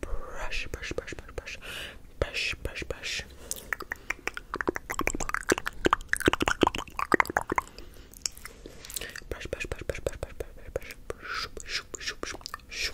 Push, push, brush, brush, brush, brush, brush, brush, brush. Brush, brush, brush, brush, brush, brush, brush, brush, brush, brush, brush, brush,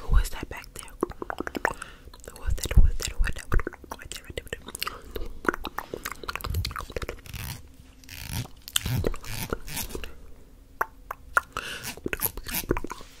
Who was that back there? Who was that? Who was that? Who was that? Right there, right there, right there.